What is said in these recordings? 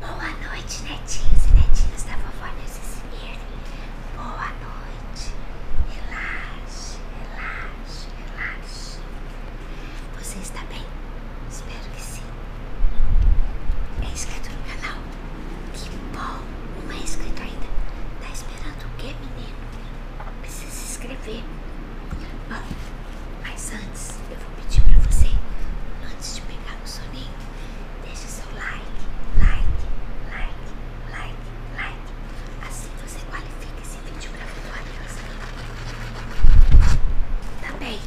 Boa noite, netinhos e netinhas da vovó Nessicimir. Boa noite. Relaxe, relaxe, relaxe. Você está bem? Espero que sim. É inscrito no canal? Que bom! Não é inscrito ainda? Tá esperando o quê, menino? Precisa se inscrever. Bom, ah, mas antes eu vou pedir para você, antes de pegar o soninho, deixe o seu like, like, like, like, like. Assim você qualifica esse vídeo para tá bem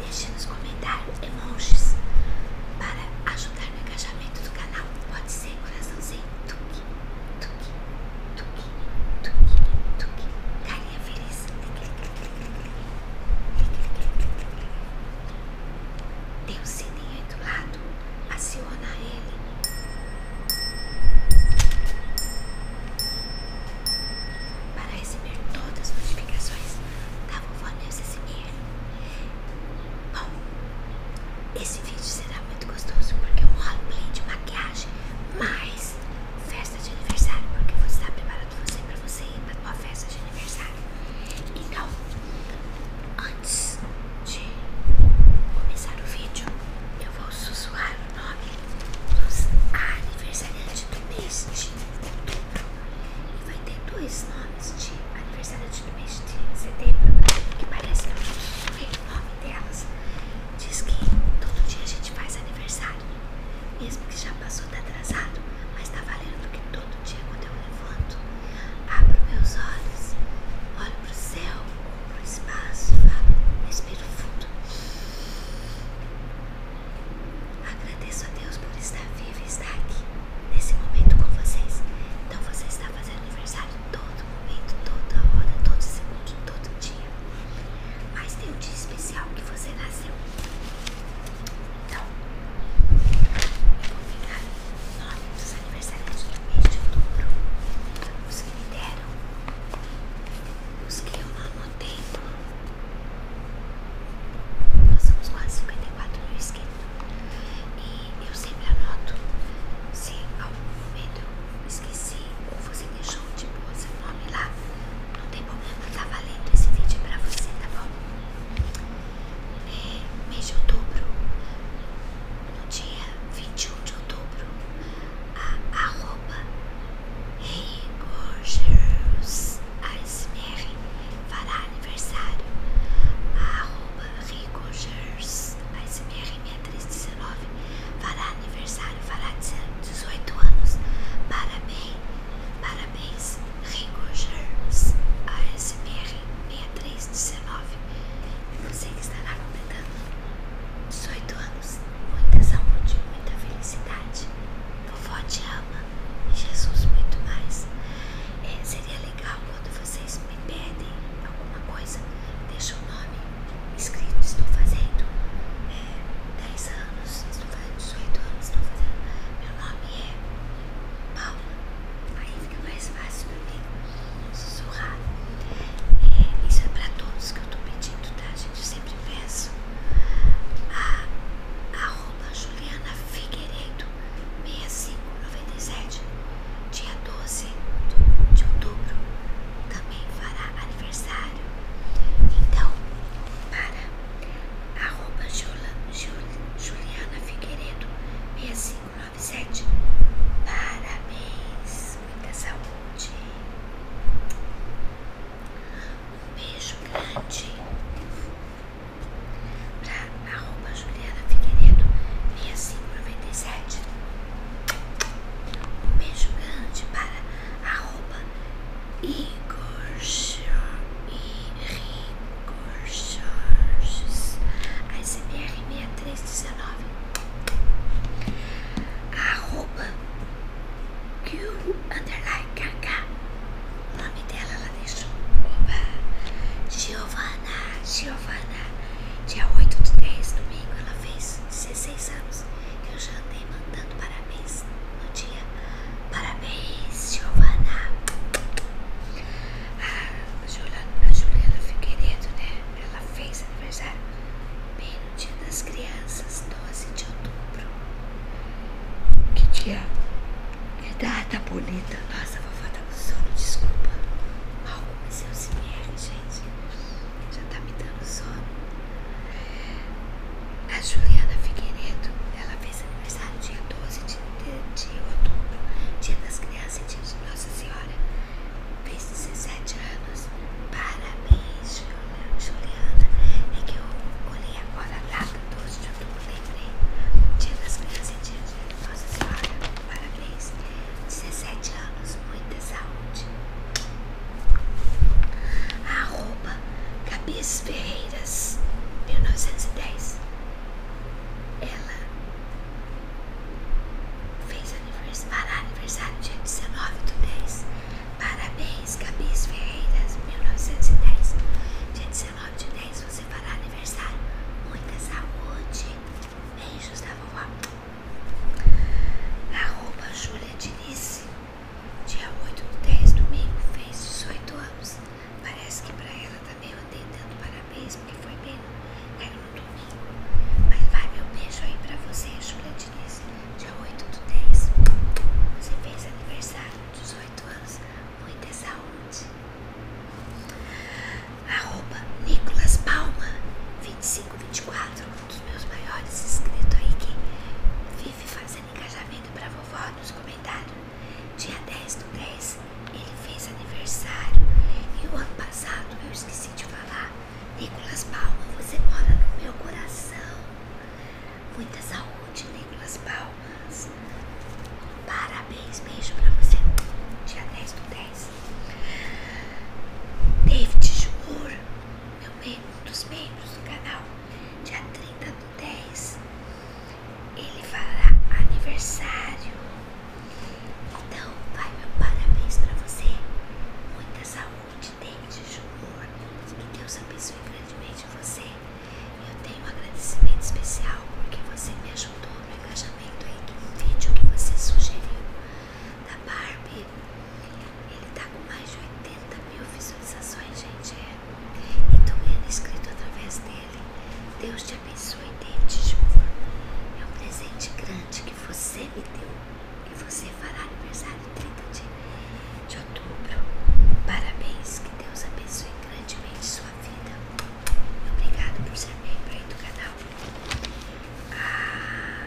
deixe nos comentários emojis para ajudar no engajamento do canal. Pode ser coraçãozinho, tuque, tuque, tuque, tuque, tuque, carinha feliz. Tem um sininho aí do lado. Aciona ele. Para receber todas as notificações da vovó Neuza Simir. Bom, esse vídeo será muito gostoso porque eu um roleplay de maquiagem, mas festa de aniversário, porque você está preparando você para você ir para uma festa de aniversário. Então, antes de começar o vídeo, eu vou sussurrar o nome dos aniversariantes do mês de outubro. E vai ter dois nomes de aniversariantes do mês de setembro, que parece que não é o nome delas. Diz que todo dia a gente faz aniversário vale. Mesmo que já passou, tá atrasado, mas tá valendo do que todo dia quando eu levanto. Abro meus olhos, olho pro céu, pro espaço, falo, respiro fundo. Agradeço a Deus por estar vivo e estar aqui nesse momento com vocês. Então você está fazendo aniversário todo momento, toda hora, todo segundo, todo dia. Mas tem um dia especial que você nasceu. Então, vou pegar o nome dos aniversariantes do mês de outubro, os que me deram, os que eu amo tempo. Nós somos quase 54 no inscritos e eu sempre anoto se em algum momento eu esqueci ou você deixou tipo seu nome lá não tem problema, tá valendo esse vídeo pra você, tá bom? É, mês de outubro, no dia 21 de outubro, a arroba Rigorgeus ASMR fará aniversário. A arroba Rigorgeus ASMR 6319 fará aniversário, fará 18 anos. Parabéns, parabéns parabéns, Ringo Germs ASMR 6319. Você que estará completando 18 anos. Muita saúde, muita felicidade. Vovó te ama e Jesus muito mais. É, seria legal quando vocês me pedem alguma coisa, deixa o nome escrito. Estou fazendo é, 10 anos registro fazendo 18 anos, estou fazendo. Meu nome é Paula. Aí fica mais fácil pra mim sussurrar. isso é pra todos que eu tô pedindo, tá? A gente sempre peço. A arroba Juliana Figueiredo 6597, dia 12 de outubro, também fará aniversário. Então, para arroba Juliana Figueiredo 6597. Parabéns, muita saúde. Um beijo grande para arroba Juliana Figueiredo 6597. Um beijo grande para arroba Igor Jorges ASMR 6319 arroba Q underline KK o nome dela ela deixou opa Giovana Giovana dia 8 de 10 domingo ela fez 16 anos eu já andei mandando parabéns no dia. Parabéns, Giovana. Ah, a Juliana, a Juliana Figueiredo, né? Ela fez aniversário bem no dia das crianças, 12 de outubro. Que dia? Que data bonita. Nossa, a vovó tá com sono, desculpa. Mal comecei o CMR, gente. Já tá me dando sono. A Juliana Figueiredo, ela fez aniversário dia 12 de, de, outubro, dia das crianças e dia de Nossa Senhora. Fez 17 anos. Parabéns, Juliana. É que eu olhei agora lá data, 12 de outubro, lembrei. Dia das crianças e dia de Nossa Senhora. Parabéns. 17 anos, muita saúde. Arroba Cabias Ferreiras, 1910. Ela fez anivers aniversário dia 19 do 10. Parabéns, Cabias Ferreiras, 1910. Dia 19 de 10 você fará aniversário. Muita saúde. Beijos da vovó. Arroba Júlia Diniz. Dia 8 do 10, domingo, fez 18 anos. Parece que pra ela também tá eu andei dando parabéns, porque foi bem, era no domingo. Mas vai meu beijo aí pra você, Julia Diniz. Dia 8 do 10, você fez aniversário, 18 anos, muita saúde. Arroba Nicolas Palma, 2524, um dos meus maiores inscritos aí que vive fazendo de para vovó nos comentários. Dia 10 do 10 ele fez aniversário. E o ano passado eu esqueci de falar. Nicolas Palma, você mora no meu coração. Muita saúde, Nicolas Palmas. Parabéns, beijo para você. Dia 10 do 10. David Jumur, meu membro, dos membros do canal dia 30 do 10, ele fará aniversário. Então, vai meu parabéns pra você. Muita saúde, dente, jubor. Que Deus abençoe grandemente você. Eu tenho um agradecimento especial porque você me ajudou no engajamento aí do vídeo que você sugeriu da Barbie. Ele tá com mais de 80 mil visualizações, gente. É. Então, e tô é ganhando inscrito através dele. Deus te abençoe, David Júnior. É um presente grande que você me deu. E você fará aniversário 30 de, outubro. Parabéns, que Deus abençoe grandemente sua vida. Obrigado por ser membro aí do canal. Ah.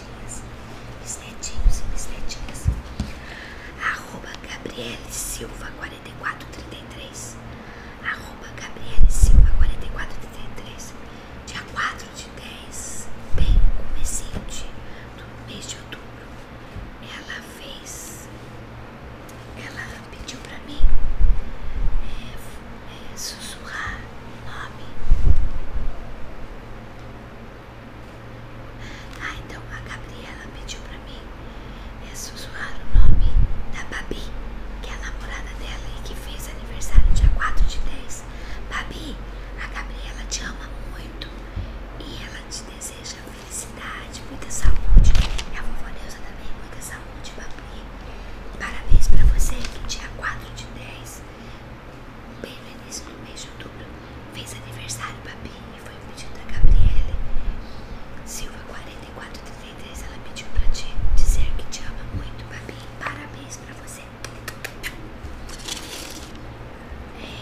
netinhas, mis netinhos e mis netinhas. Arroba gabrielle Silva 4433. Arroba Gabriele Silva 4433. Dia 4 de 10, bem comecente do mês de outubro. Ela fez. Ela pediu pra mim é, é, sussurrar o nome ah, então a Gabriela pediu pra mim é sussurrar o nome da Babi, que é a namorada dela e que fez aniversário dia 4 de 10. Babi, a Gabriela te ama muito e ela te deseja felicidade, muita saúde. É a vovó Neuza também, muita saúde, Babi. Parabéns pra você que dia 4 de 10 Bem no mês de outubro, fez aniversário Babi e foi pedido da Gabriele. Silva 4433, ela pediu pra ti dizer que te ama muito, Babi. Parabéns pra você. É,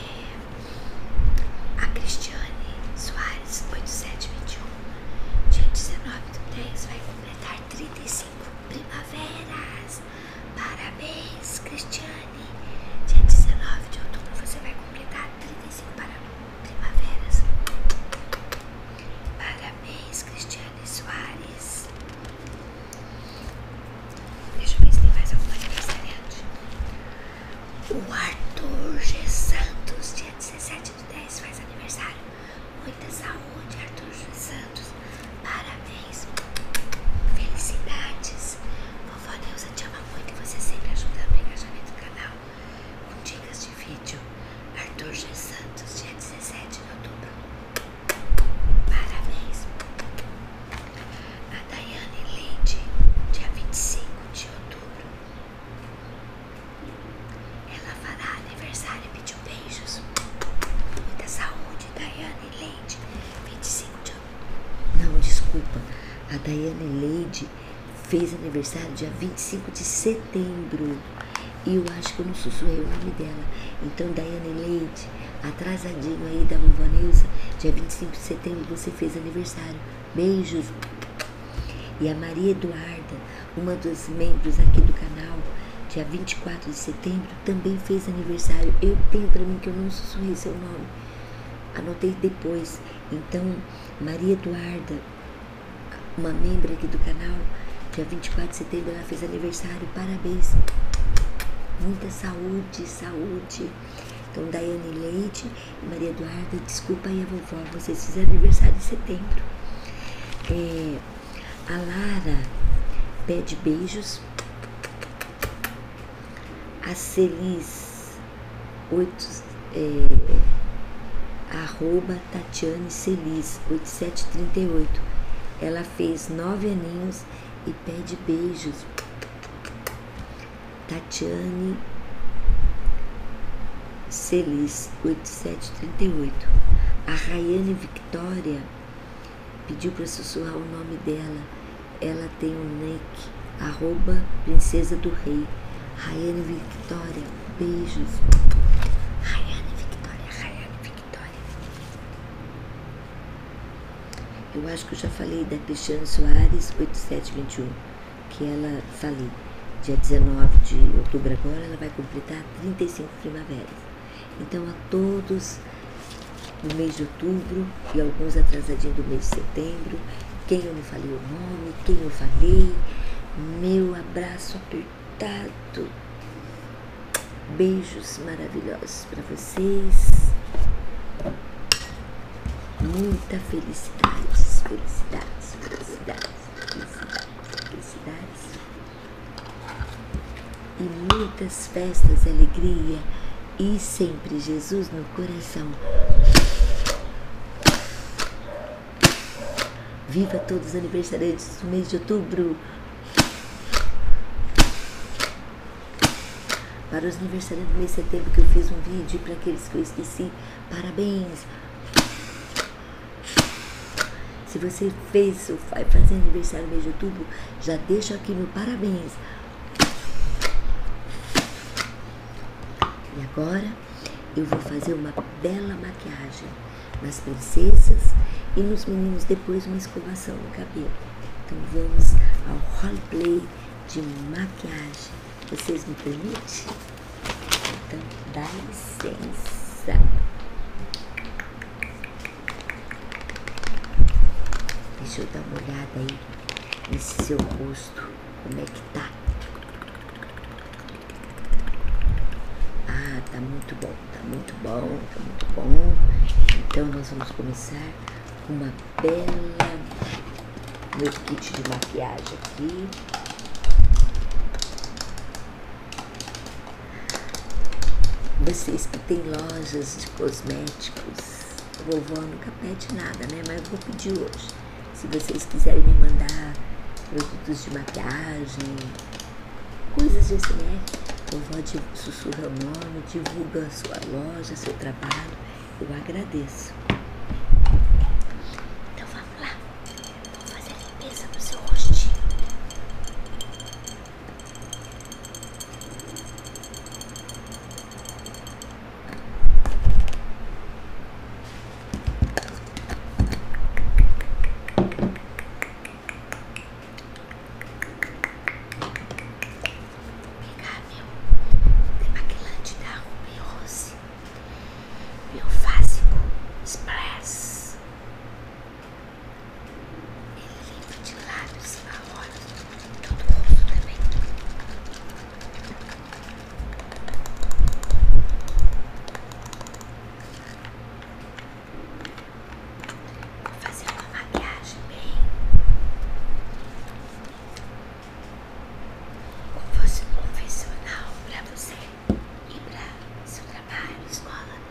a Cristiane Soares 8721, dia 19 do 10, vai completar 35 primaveras. Parabéns, Cristiane. Dia 19 de outubro você vai completar 35 para primaveras. Parabéns, Cristiane Soares. Deixa eu ver se tem mais algum aniversariante. O Arthur G. Santos, dia 17 de dez faz aniversário. Muita saúde, Arthur G. Santos. Parabéns. Felicidades. Vovó Neuza te ama muito você sempre ajuda a engajamento do canal. Com dicas de vídeo. Arthur G. Santos, dia 17 de outubro. Parabéns. A Dayane Leite, dia 25 de outubro. Ela fará aniversário e pediu beijos. Muita saúde, Dayane Leite gente. 25 de Não, desculpa. A Dayane Leide fez aniversário dia 25 de setembro. E eu acho que eu não sussurrei o nome dela. Então, Dayane Leite, atrasadinho aí da Luva Neuza, dia 25 de setembro você fez aniversário. Beijos! E a Maria Eduarda, uma dos membros aqui do canal, dia 24 de setembro, também fez aniversário. Eu tenho para mim que eu não sussurrei seu nome. Anotei depois. Então, Maria Eduarda, uma membro aqui do canal, dia 24 de setembro ela fez aniversário. Parabéns. Muita saúde, saúde. Então, Daiane Leite e Maria Eduarda, desculpa aí a vovó, vocês fizeram aniversário em setembro. É, a Lara pede beijos. A Celis, 8, é, arroba Tatiane Celis, oito. Ela fez nove aninhos e pede beijos. Tatiane Celis oito. A Rayane Victoria Pediu para sussurrar o nome dela. Ela tem o nick, arroba princesa do rei. Rayane Victoria, beijos. Rayane Victoria, Rayane Victoria. Eu acho que eu já falei da Cristiane Soares 8721, que ela falei. Dia 19 de outubro agora, ela vai completar 35 primaveras. Então a todos no mês de outubro e alguns atrasadinhos do mês de setembro, quem eu não falei o nome, quem eu falei, meu abraço apertado. Beijos maravilhosos para vocês. Muita felicidade, felicidade felicidade felicidade felicidades. E muitas festas, alegria e sempre Jesus no coração. Viva todos os aniversariantes do mês de outubro! Para os aniversariantes do mês de setembro que eu fiz um vídeo, para aqueles que eu esqueci, parabéns! Se você fez, o pai fazer aniversário no mês de já deixo aqui no parabéns. E agora eu vou fazer uma bela maquiagem nas princesas e nos meninos depois uma escovação no cabelo. Então vamos ao roleplay de maquiagem. Vocês me permitem? Então dá licença. Deixa eu dar uma olhada aí nesse seu rosto, como é que tá? Ah, tá muito bom, tá muito bom, tá muito bom. Então nós vamos começar uma bela meu kit de maquiagem aqui. Vocês que têm lojas de cosméticos, vovó nunca pede nada, né? Mas eu vou pedir hoje. Se vocês quiserem me mandar produtos de maquiagem, coisas de SMR, vovó sussurra o nome, divulga a sua loja, seu trabalho. Eu agradeço. Então vamos lá. Vou fazer a limpeza no seu rostinho pegar meu maquilante da Ruby Rose, meu básico Express. Ele limpa de lábios a hora, todo o rosto também. Vou fazer uma maquiagem bem como fosse um profissional para você e para seu trabalho, escola.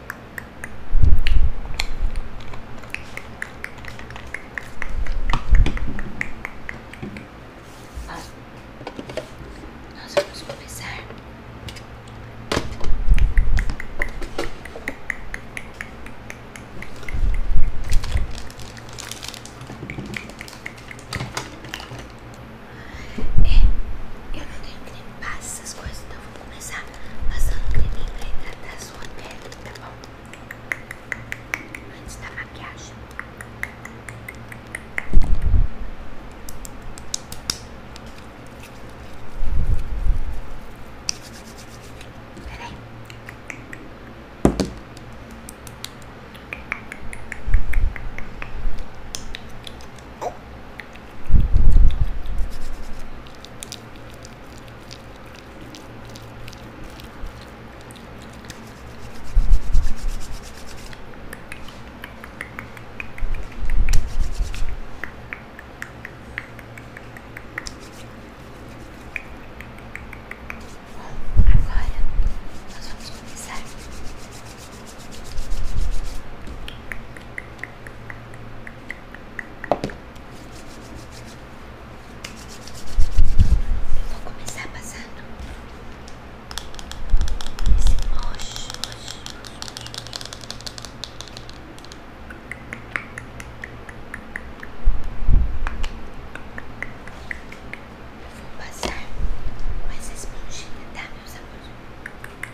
Ó, nós vamos começar é, eu não tenho que limpar essas coisas, então vou começar passando creminho né? pra hidratar sua pele, tá bom? Antes da maquiagem. Peraí. Bom, agora nós vamos começar vou começar passando esse roxo, vou passar mais essa esponjinha, tá, meus amor.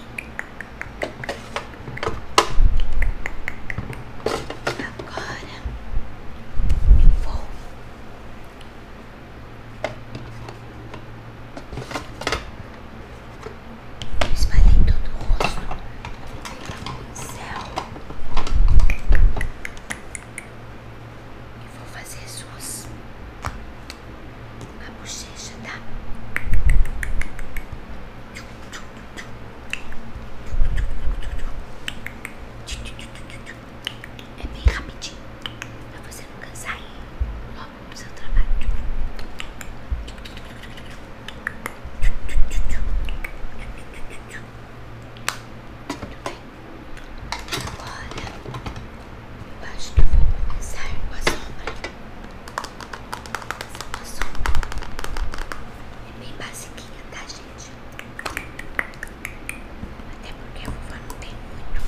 Agora vou espalhei todo o rosto com céu e vou fazer suas a bochecha, tá? É bem rapidinho para você não cansar e logo seu trabalho. Muito bem. Agora eu acho que eu vou sombra. Essa sombra é bem basiquinha, tá, gente? Até porque a uva não tem muito.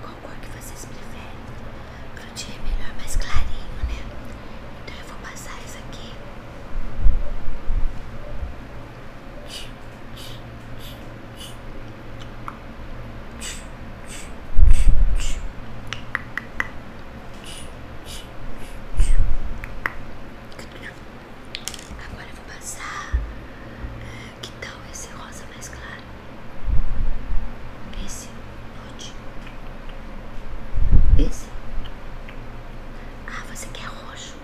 Qual cor que vocês preferem? Pro dia é melhor mais clarinho, né? Então eu vou passar isso aqui. Agora eu vou passar. Ah, que tal esse rosa mais claro? Esse Esse? Ah, você quer roxo?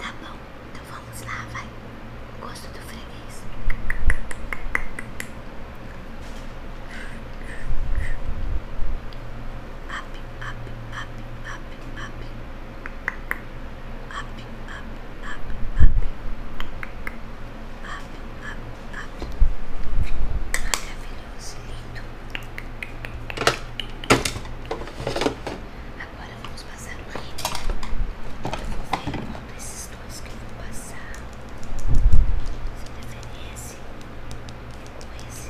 Tá bom, então vamos lá, vai. Gosto do freguês. Up, up, up, up, up. Up, up, up, up. Up, up, up. Maravilhoso, lindo. Agora vamos passar o glitter. Eu vou ver qual desses dois que eu vou passar. Você prefere esse ou esse?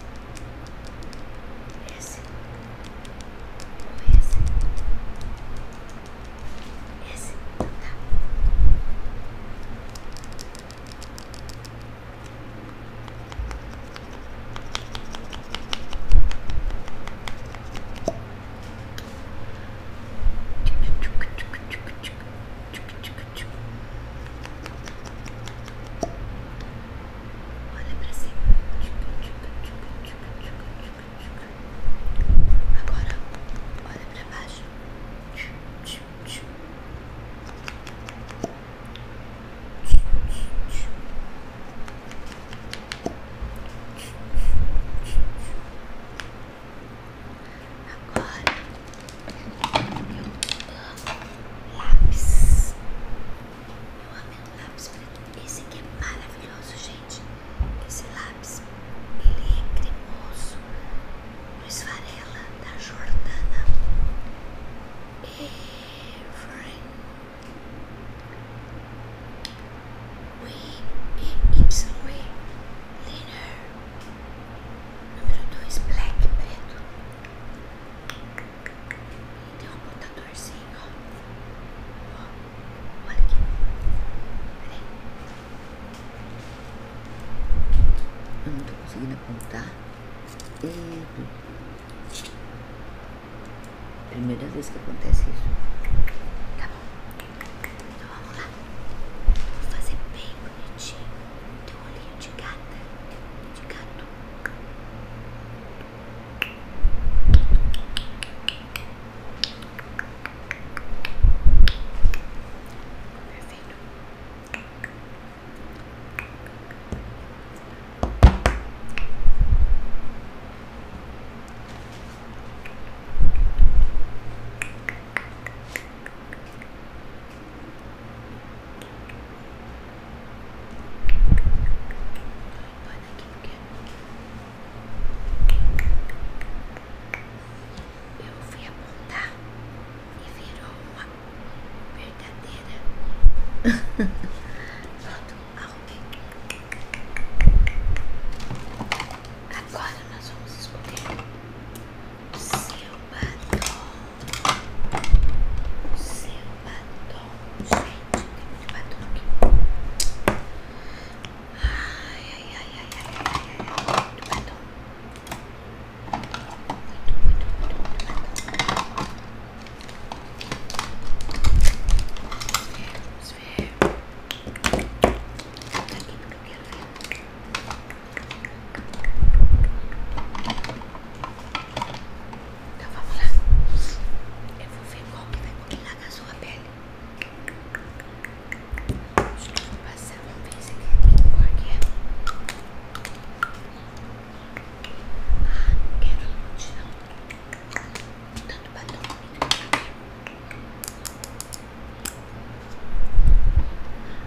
Esse ou esse? Esse? Então tá. Olha pra cima. Agora olha pra baixo. Agora eu amo lápis. Eu amo lápis Esse aqui é maravilhoso, gente. Esse lápis, ele é cremoso. Luiz Varela, da Jordana. Every We oh, oh, e Y we Liner Número 2 Black preto e Tem um apontadorzinho ó. ó Olha aqui Peraí Eu não tô conseguindo apontar Eita Primeira vez que acontece isso. Tá bom. Então vamos lá. Vou fazer bem bonitinho. Teu olhinho de gata. de gato. Perfeito. Tá eu fui apontar e virou uma verdadeira Agora nós vamos escolher o seu batom. O seu batom. Gente, tem muito batom aqui. Ai, ai, ai, ai, ai, ai, ai, muito batom. Muito, muito, muito, muito batom. Vamos ver, vamos ver. Tá aqui porque eu quero ver. Então vamos lá. Eu vou ver qual que vai combinar com a sua pele. Deixa eu passar uma vez aqui, que cor que é. Ah, não quero um monte não tanto batom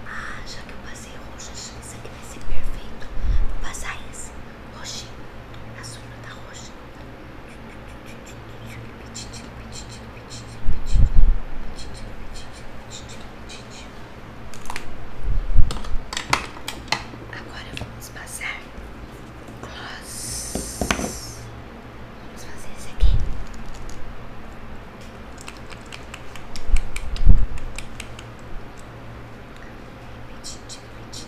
Ah, já que eu passei roxa. isso aqui vai ser perfeito Vou passar esse roxinho A sombra tá roxa Agora vamos passar gloss. Vamos fazer isso aqui. Obrigado.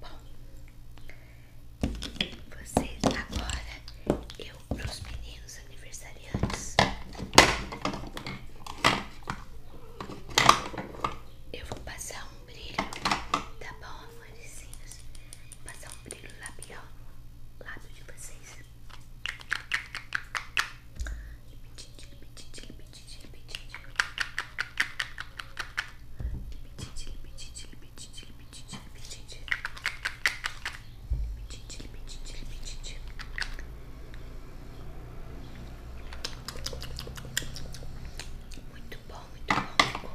Bom, vocês tá agora, eu pros meninos aniversariantes, eu vou passar um brilho, tá bom, amorzinhos? Vou passar um brilho labial no lábio de vocês. Muito bom, muito bom, ficou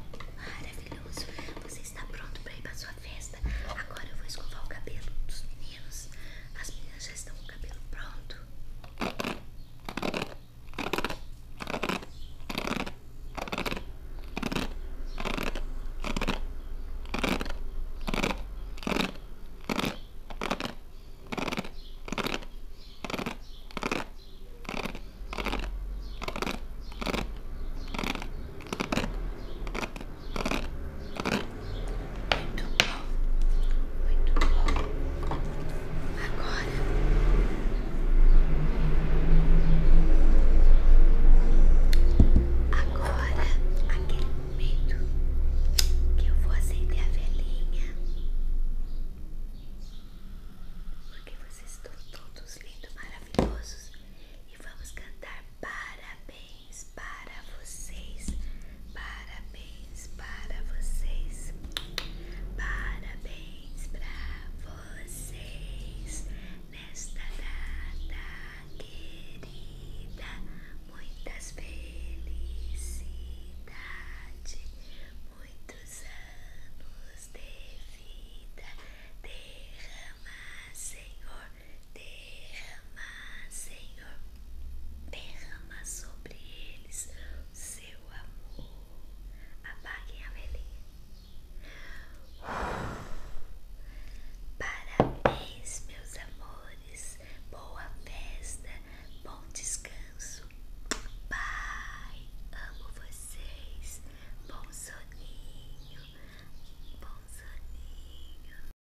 maravilhoso. Você está pronto para ir para sua festa? Agora eu vou escovar o cabelo dos meninos as minhas já estão com o cabelo pronto. Muito bom, muito bom. Agora Agora, aquele momento que eu vou acender a velhinha. Porque vocês estão todos lindos, maravilhosos. E vamos cantar parabéns. Parabéns para vocês. Parabéns para vocês. Parabéns para vocês. Nesta data querida, muitas felicidades, muitos anos de vida. Derrama, Senhor. Derrama, Senhor, derrama sobre eles o seu amor. Apaguem a velhinha. Parabéns, meus amores. Boa festa, bom descanso. Pai, amo vocês. Bom soninho, bom soninho.